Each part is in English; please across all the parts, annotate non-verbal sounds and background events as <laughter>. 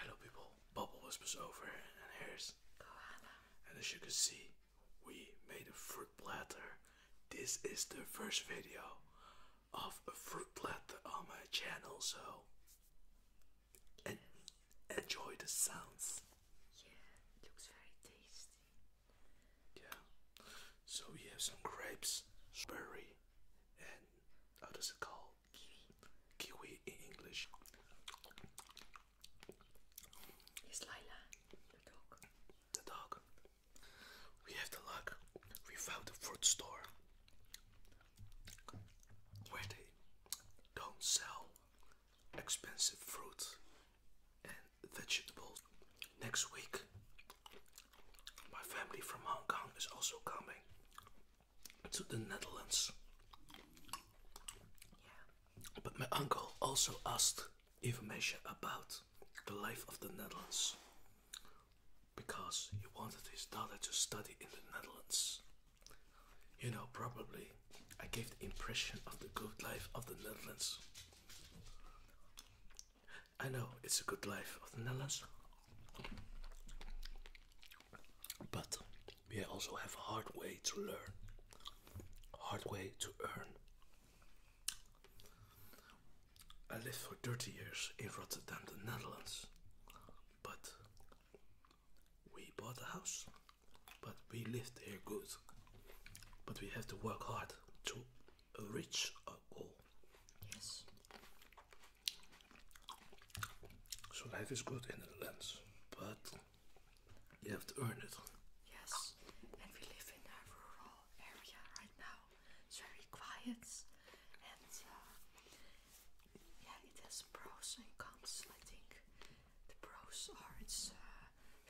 Hello people, Bubble Whispers over and here's Koala. And as you can see, we made a fruit platter. This is the first video of a fruit platter on my channel, so enjoy the sounds. Yeah, it looks very tasty. Yeah. So we have some grapes, berry, and how uh, does it call? Kiwi. Kiwi in English. It's Lila, the dog. The dog. We have the luck. We found a fruit store where they don't sell expensive fruit and vegetables. Next week, my family from Hong Kong is also coming to the Netherlands. But my uncle also asked information about the life of the Netherlands because he wanted his daughter to study in the Netherlands. You know, probably I gave the impression of the good life of the Netherlands. I know it's a good life of the Netherlands, but we also have a hard way to learn, hard way to earn. I lived for 30 years in Rotterdam, the Netherlands, but we bought a house, but we lived there good. But we have to work hard to reach our goal. Yes. So life is good in the lens, but you have to earn it. Yes, and we live in a rural area right now. It's very quiet, and uh, yeah, it has pros and cons. I think the pros are it's uh,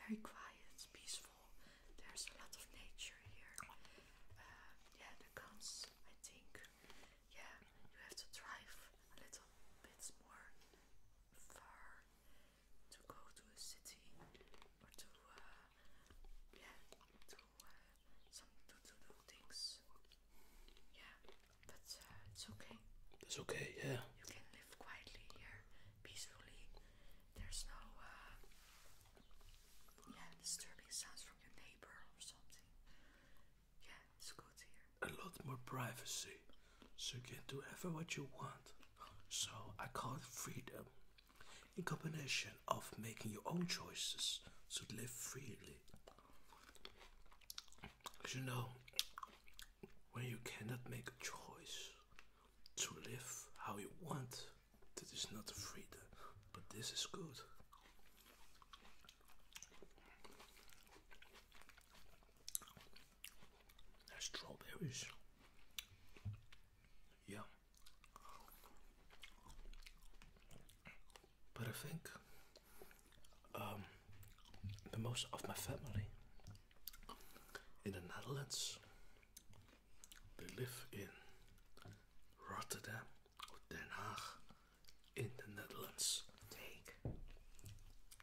very quiet, peaceful. There's a lot of nature here. Uh, yeah, the cons I think yeah, you have to drive a little bit more far to go to a city or to, uh, yeah, to uh, some to, do things. Yeah, but uh, it's okay. It's okay, yeah. You can live quietly here, peacefully. There's no, yeah, disturbing sounds from your neighbor or something. A lot more privacy, so you can do ever what you want. So I call it freedom, in combination of making your own choices to live freely. Because you know, when you cannot make a choice to live how you want, that is not freedom, but this is good. That's strawberries. Yeah. But I think um, the most of my family in the Netherlands, they live in Rotterdam. Den in the Netherlands. Take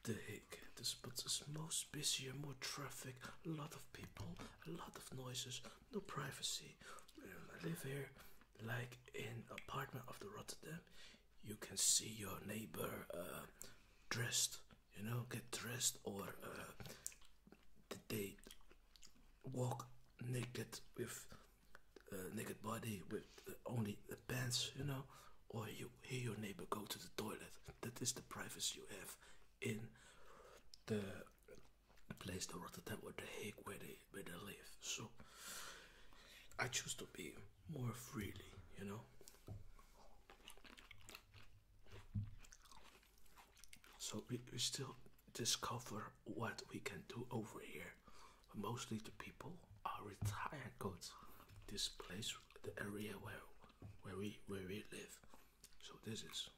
the The spot is most busy and more traffic, a lot of people, a lot of noises, no privacy. Um, I live here like in apartment of the Rotterdam. You can see your neighbor uh, dressed, you know, get dressed or uh, they walk naked with uh, naked body with only the pants, you know, or you hear your neighbor go to the toilet. That is the privacy you have in the place, the Rotterdam or the Hague, where they where they live. So I choose to be more freely, you know. So we still discover what we can do over here mostly the people are retired goats. This place, the area where where we where we live, so this is.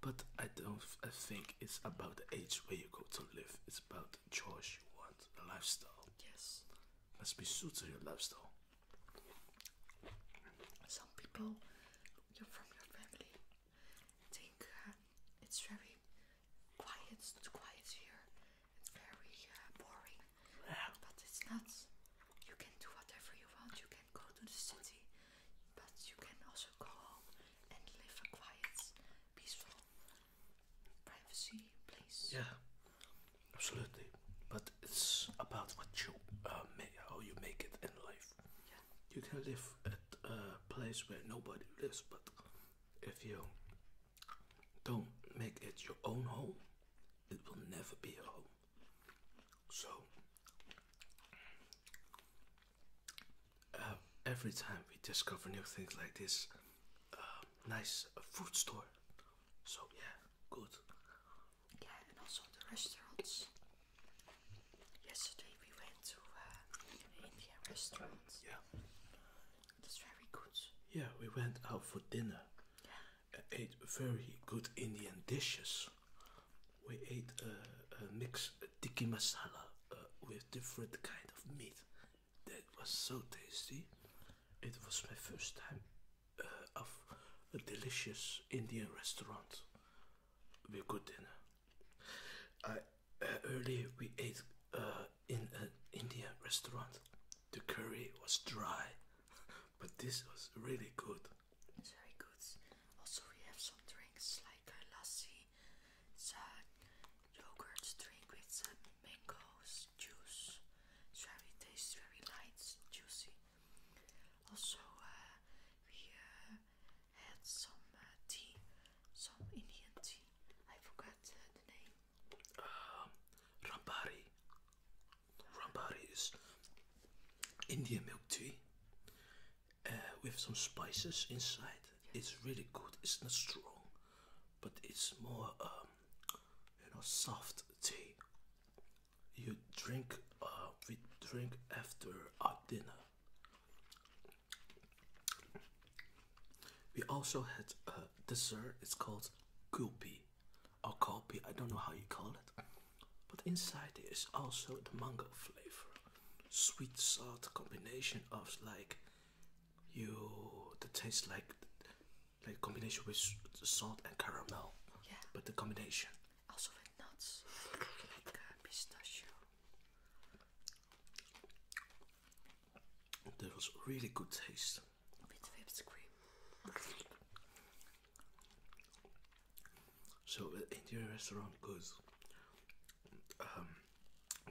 But I don't. I think it's about the age where you go to live. It's about the choice you want, the lifestyle. Yes. Must be suited to your lifestyle. Some people, you're from your family, think uh, it's very quiet, it's quiet here. It's very uh, boring, but it's not. You can do whatever you want. You can go to the city, but you can also go home and live a quiet, peaceful, privacy place. Yeah, absolutely. But it's about what you uh, make, how you make it in life. Yeah. You can live at a place where nobody lives, but if you don't make it your own home, it will never be a home. So, uh, every time we discover new things like this, uh, nice uh, food store. So, yeah, good. Yeah, and also the restaurants. Yesterday we went to Indian restaurants. Yeah. That's very good. Yeah, we went out for dinner. Yeah. Uh, ate very good Indian dishes. We ate uh, a mix tikki masala uh, with different kind of meat. That was so tasty. It was my first time of a delicious Indian restaurant. We good dinner. I earlier we ate uh, in an Indian restaurant. The curry was dry, <laughs> but this was really good. very good. Also, we have some drinks like a lassi, yogurt drink with some mangoes juice. very tasty, very light, juicy. Also, uh, we uh, had some tea, some Indian tea. I forgot the name. Um, Rampari. is Indian milk tea uh, with some spices inside. It's really good. It's not strong, but it's more um, you know soft tea. You drink. Uh, we drink after our dinner. We also had a dessert. It's called Gulpi or Kopi. I don't know how you call it. But inside there is also the mango flavor. Sweet salt combination of like you the taste like like combination with salt and caramel. Yeah. But the combination. Also with nuts. <laughs> Like, pistachio. That was really good taste. With whipped cream. So the uh, Indian restaurant good. Um,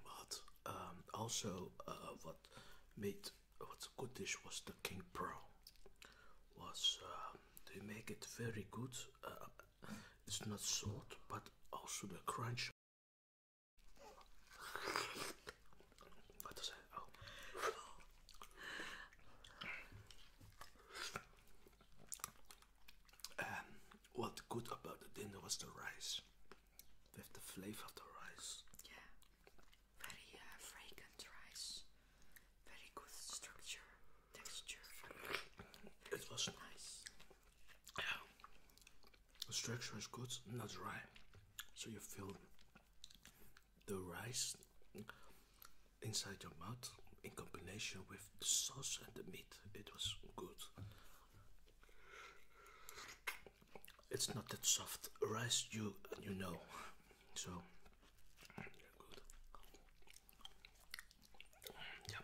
but um, also uh, what made what's a good dish was the king prawn. Was um, they make it very good. Uh, it's not salt, but also the crunch what does it? Oh. Um, what good about the dinner was the rice, with the flavor of the rice. Yeah, very uh, fragrant rice, very good structure, texture. It was nice. The structure is good, not dry, so you feel the rice inside your mouth in combination with the sauce and the meat. It was good. It's not that soft rice, you you know, so. Good. Yummy.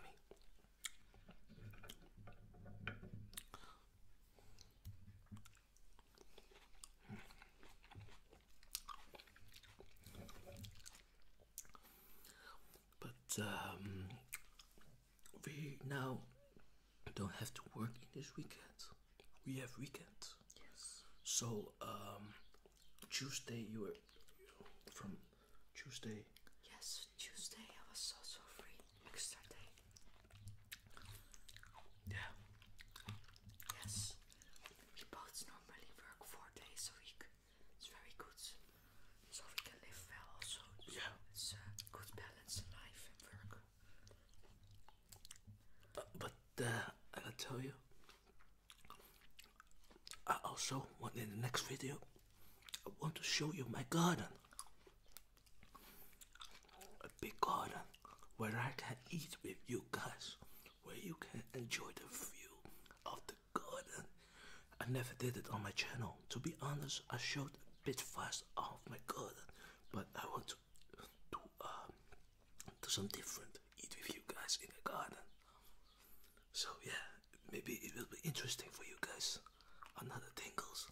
But um, we now don't have to work in this weekend. We have weekend. Yes. So um, Tuesday you were from Tuesday. Yes. Tuesday. I was also free. Extra day. Yeah. Yes. We both normally work four days a week. It's very good. So we can live well also. Yeah. It's a good balance in life and work. Uh, but I gotta tell you, I also want in the next video, I want to show you my garden a big garden where I can eat with you guys, where you can enjoy the view of the garden. I never did it on my channel. To be honest, I showed a bit fast of my garden, but I want to um, do, some different, eat with you guys in the garden. So yeah, maybe it will be interesting for you guys. Another tingles.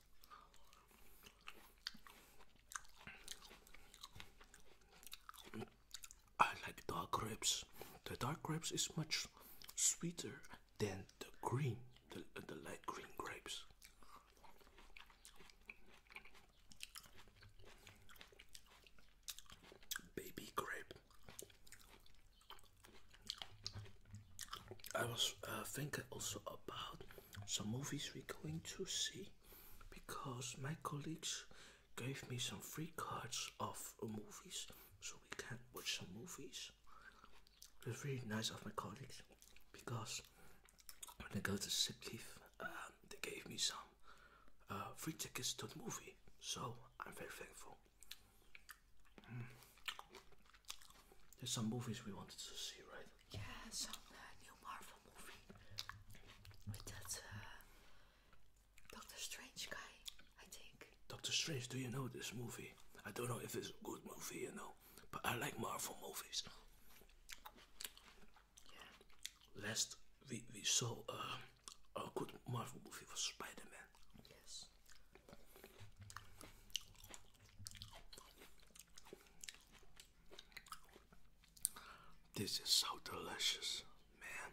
I like dark grapes. The dark grapes is much sweeter than the green, the, the light green grapes. Baby grape. I was uh, thinking also about some movies we're going to see because my colleagues gave me some free cards of movies so we can watch some movies. It's really nice of my colleagues because when I go to Sipleaf, um, they gave me some uh, free tickets to the movie, so I'm very thankful. Hmm. There's some movies we wanted to see, right? Yeah, some uh, new Marvel movie with that uh, Doctor Strange guy, I think. Doctor Strange, do you know this movie? I don't know if it's a good movie, you know, but I like Marvel movies. Last we we saw uh, a good Marvel movie was Spider-Man. Yes. This is so delicious, man.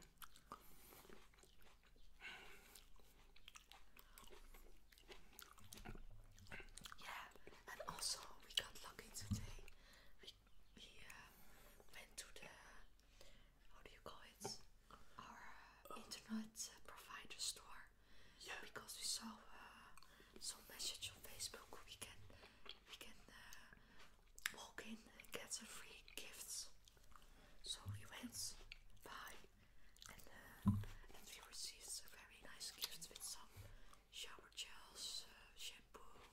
Yeah, and also we got lucky today. We we uh, went to the how do you call it? Our uh, internet provider store, yeah. Because we saw uh, some message on Facebook. We can we can uh, walk in and get some free gifts. So we went by and uh, we received a very nice gift with some shower gels, uh, shampoo,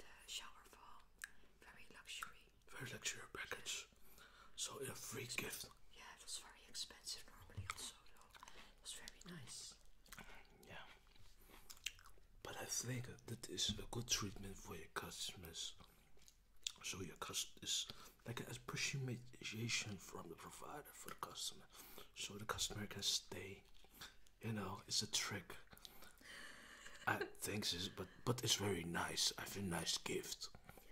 the uh, shower foam, very luxury. Very luxury package. So a free gift. Yeah, it was very expensive normally also though. That's very nice. Yeah. But I think that is a good treatment for your customers. So your customers, is like an appreciation from the provider for the customer. So the customer can stay. You know, it's a trick. I think this, but but it's very nice. I feel nice gift.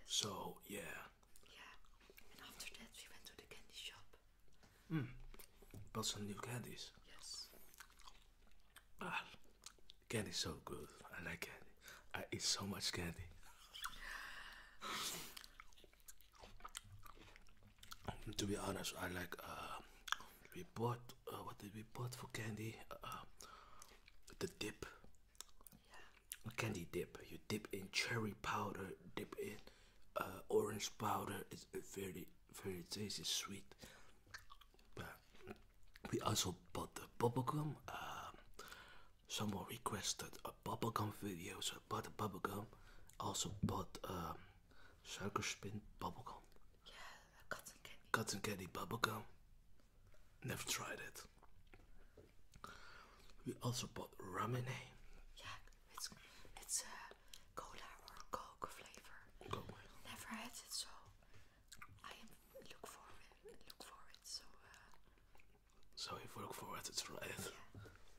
So yeah. Yeah, and after that we went to the candy shop. Hmm. Bought some new candies. Yes. Ah, so good. I like candy. I eat so much candy. Um, to be honest, I like. Uh, we bought. Uh, what did we bought for candy? Uh, the dip candy dip. You dip in cherry powder, dip in uh, orange powder. It's very, very tasty, sweet. we also bought the bubble gum. Um, someone requested a bubble gum video, so bought the gum. Also bought um, sugar spin gum. Yeah, cotton candy. Cotton candy gum. Never tried it. We also bought ramen. Yeah, it's it's a cola or Coke flavor. Never had it, so I am look for it. Look for it. So. Uh, so if look for it, it's right.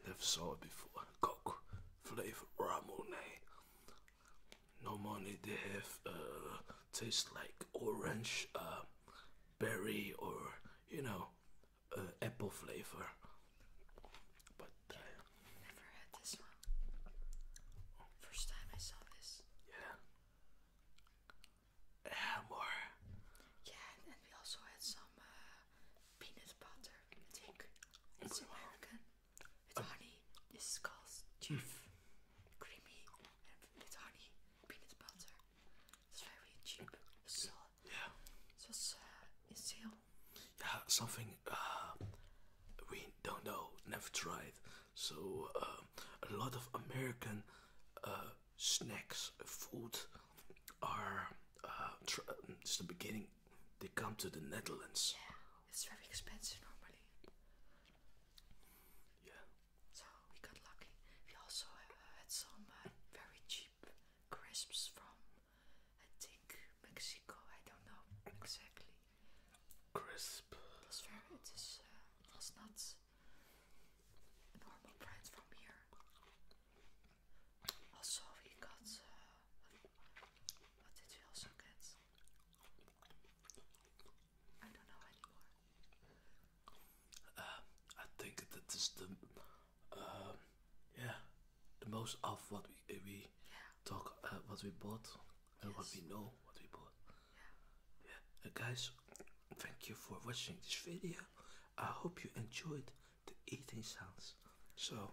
Never saw it before. Coke flavor Ramune. money. they have uh, taste like orange, uh, berry, or you know uh, apple flavor. But uh, never had this one. First time I saw this. Yeah. more. Yeah, and we also had some uh, peanut butter. I it's American with um, honey. This is called Chief. Creamy and with honey, peanut butter. It's very cheap. so yeah. Just uh, still. Yeah, something uh, we don't know, never tried. So uh, a lot of American uh, snacks, food, are just tr the beginning. They come to the Netherlands. Yeah, it's very expensive normally. Yeah. So we got lucky. We also had some very cheap crisps from I think Mexico. I don't know exactly. Crisp. That's very. It is. Uh, that's not normal brand from here. Also, we got. Uh, what did we also get? I don't know anymore. Uh, I think that is the uh, yeah, the most of what we eh, we talk, uh, what we bought, and what we know, what we bought. Yeah, uh, guys, thank you for watching this video. I hope you enjoyed the eating sounds. So,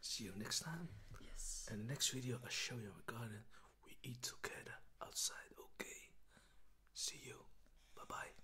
see you next time. Yes. And the next video, I show you a garden. We eat together outside. Okay. See you. Bye bye.